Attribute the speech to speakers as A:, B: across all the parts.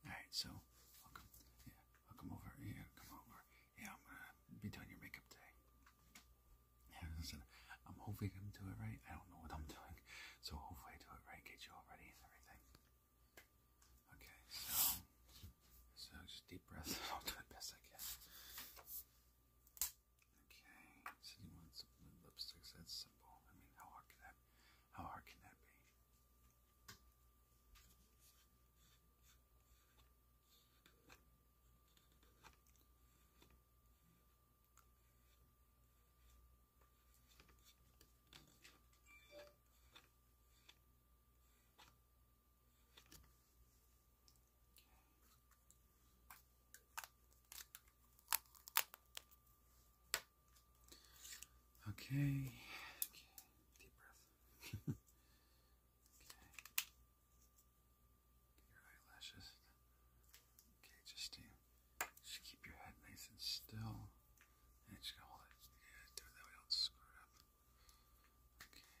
A: All right, so I'll come, yeah, I'll come over. Yeah, come over. Yeah, I'm gonna be doing your makeup today. Yeah, I'm hoping I'm doing it right. I don't know what I'm doing. So hopefully I do it right, get you all ready and everything. Okay, so so just deep breath. I'll do it best I guess. Okay, so you want some lipsticks? That's simple. I mean, how hard can that? How hard can that be? Okay. Okay. Deep breath. okay your eyelashes. Okay, just, do, uh, just keep your head nice and still. And just gonna hold it. do that way, don't screw up. Okay, just, there we go.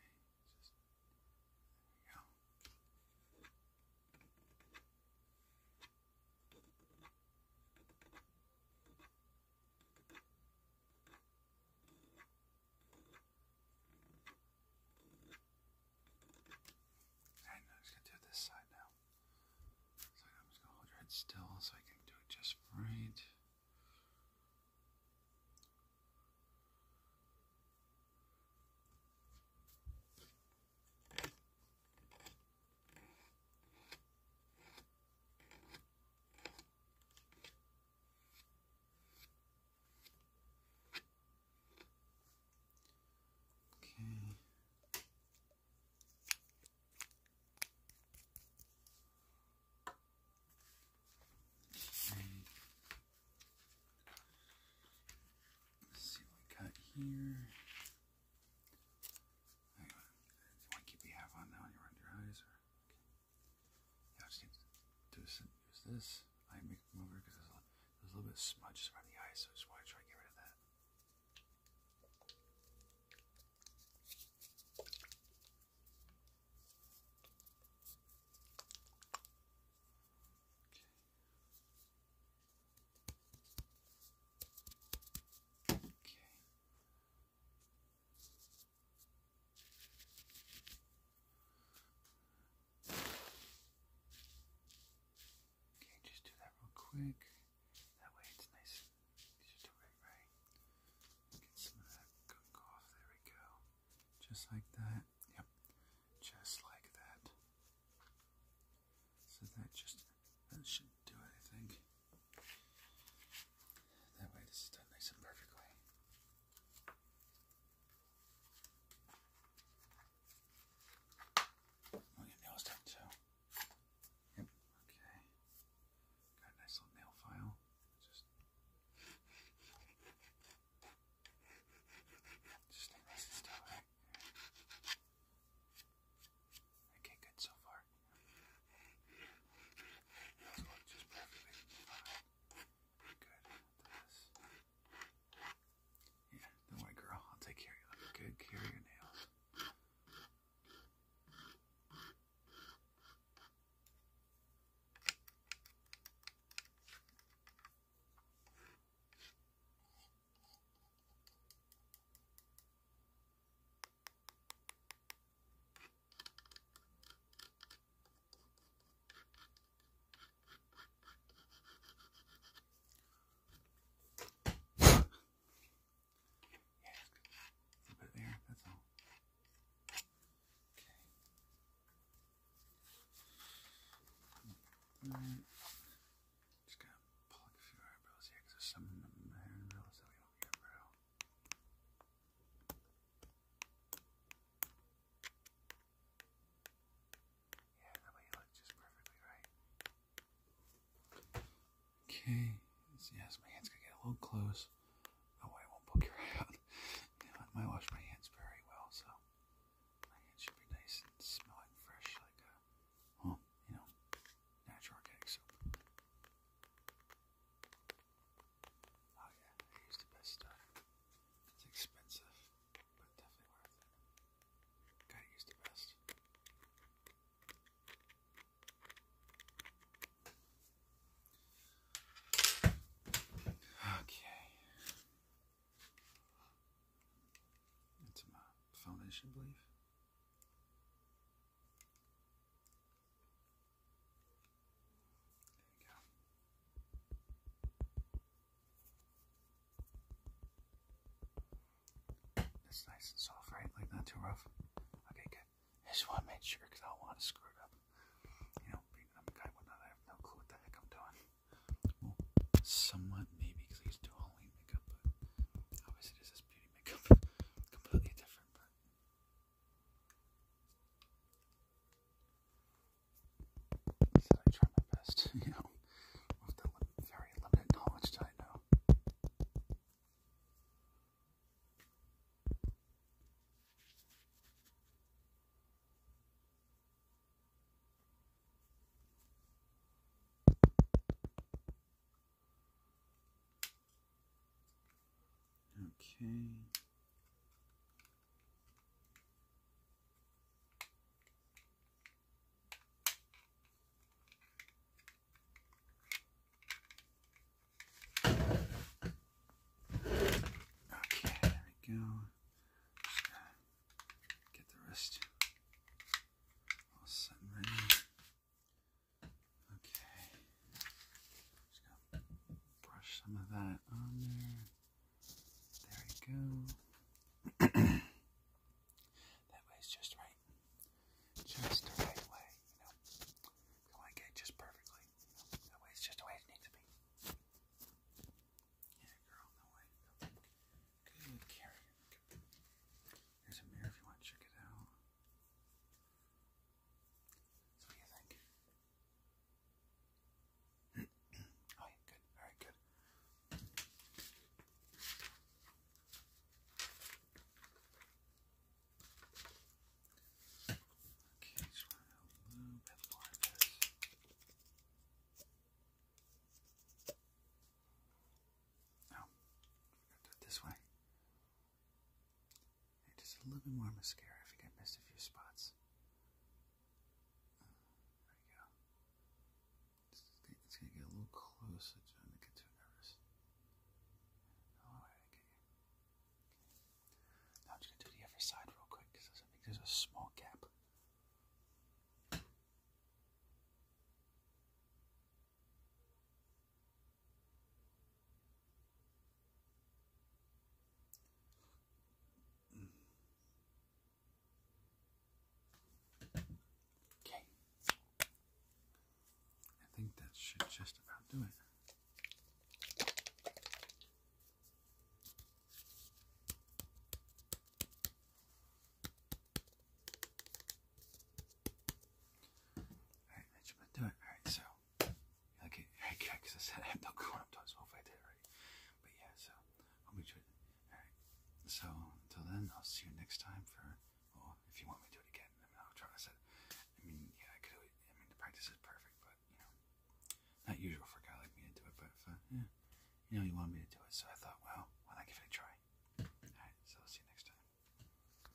A: I'm just going to do this side now. So I'm just going to hold your head still so I can do it just right. Okay. And let's see what we got here. Hang on. What keep you have on now? You're under eyes, okay. just get to use this. I make over because there's, a little bit of smudge around the eyes, so I just want to try and get rid of that. Okay. okay. Okay, just do that real quick. That way it's nice and easy to right. Get some of that gunk off. There we go. Just like that. Yep. Just like that. So that just that should do it, I think. That way this is done nice and perfectly. I'll get nails done too. Yep, okay. Got a nice little nail file. Just just stay nice and still, Okay, good so far. That's what just perfectly fine. Good. This. Yeah, don't worry, girl. I'll take care of you. Look good. Care of your nails. Yeah, put Just gonna plug a few eyebrows here there's some in the hair that we don't care about. Yeah, that way you look just perfectly right. Okay. Yes, my hands could get a little close. Oh, I won't poke your eye out. I wash my hands very well, so my hands should be nice and smelling fresh, like a, well, you know, natural organic soap. Oh yeah, I use the best stuff. It's expensive, but definitely worth it. got use the best. Okay. That's my foundation, believe. There It's nice and soft, right? Like not too rough. Okay, good. I just want to make sure because I don't want to screw it up. You know, being a guy would no clue what the heck I'm doing. somewhat maybe because I used Halloween makeup, but obviously this is beauty makeup, completely different. So I try my best, you know, with the very limited knowledge that I know. Okay. Okay, there we go. Get the rest all set ready. Okay. Just gonna brush some of that on there. There we go. that way's just right. Just the right way, you know. You want just perfectly. You know? That just the way it needs to be. Yeah, girl, no way. Good carry. Here's a mirror if you want to check it out. what do you think? oh, yeah, good, very good. Okay, just a little bit more of this. Oh, do it this way just a little bit more mascara. I think I missed a few spots. Uh, there we go. It's going to get a little close. I do get too nervous. Oh, all right, okay. Now I'm just going to do the other side real quick because I think there's a small gap. Okay. I think that should just about do it. All right, that should do it. All right, so Okay, it, because I said I'm not going up to as if I did already. But yeah, so I'll be sure. Alright. So until then, I'll see you next time for well, if you want me to do it again. I mean I'll try to set I mean yeah, I could it I mean the practice is perfect, but you know not usual for a guy like me to do it, but uh, yeah, you know you wanted me to do it, so I thought, well, why not give it a try? Alright, so I'll see you next time.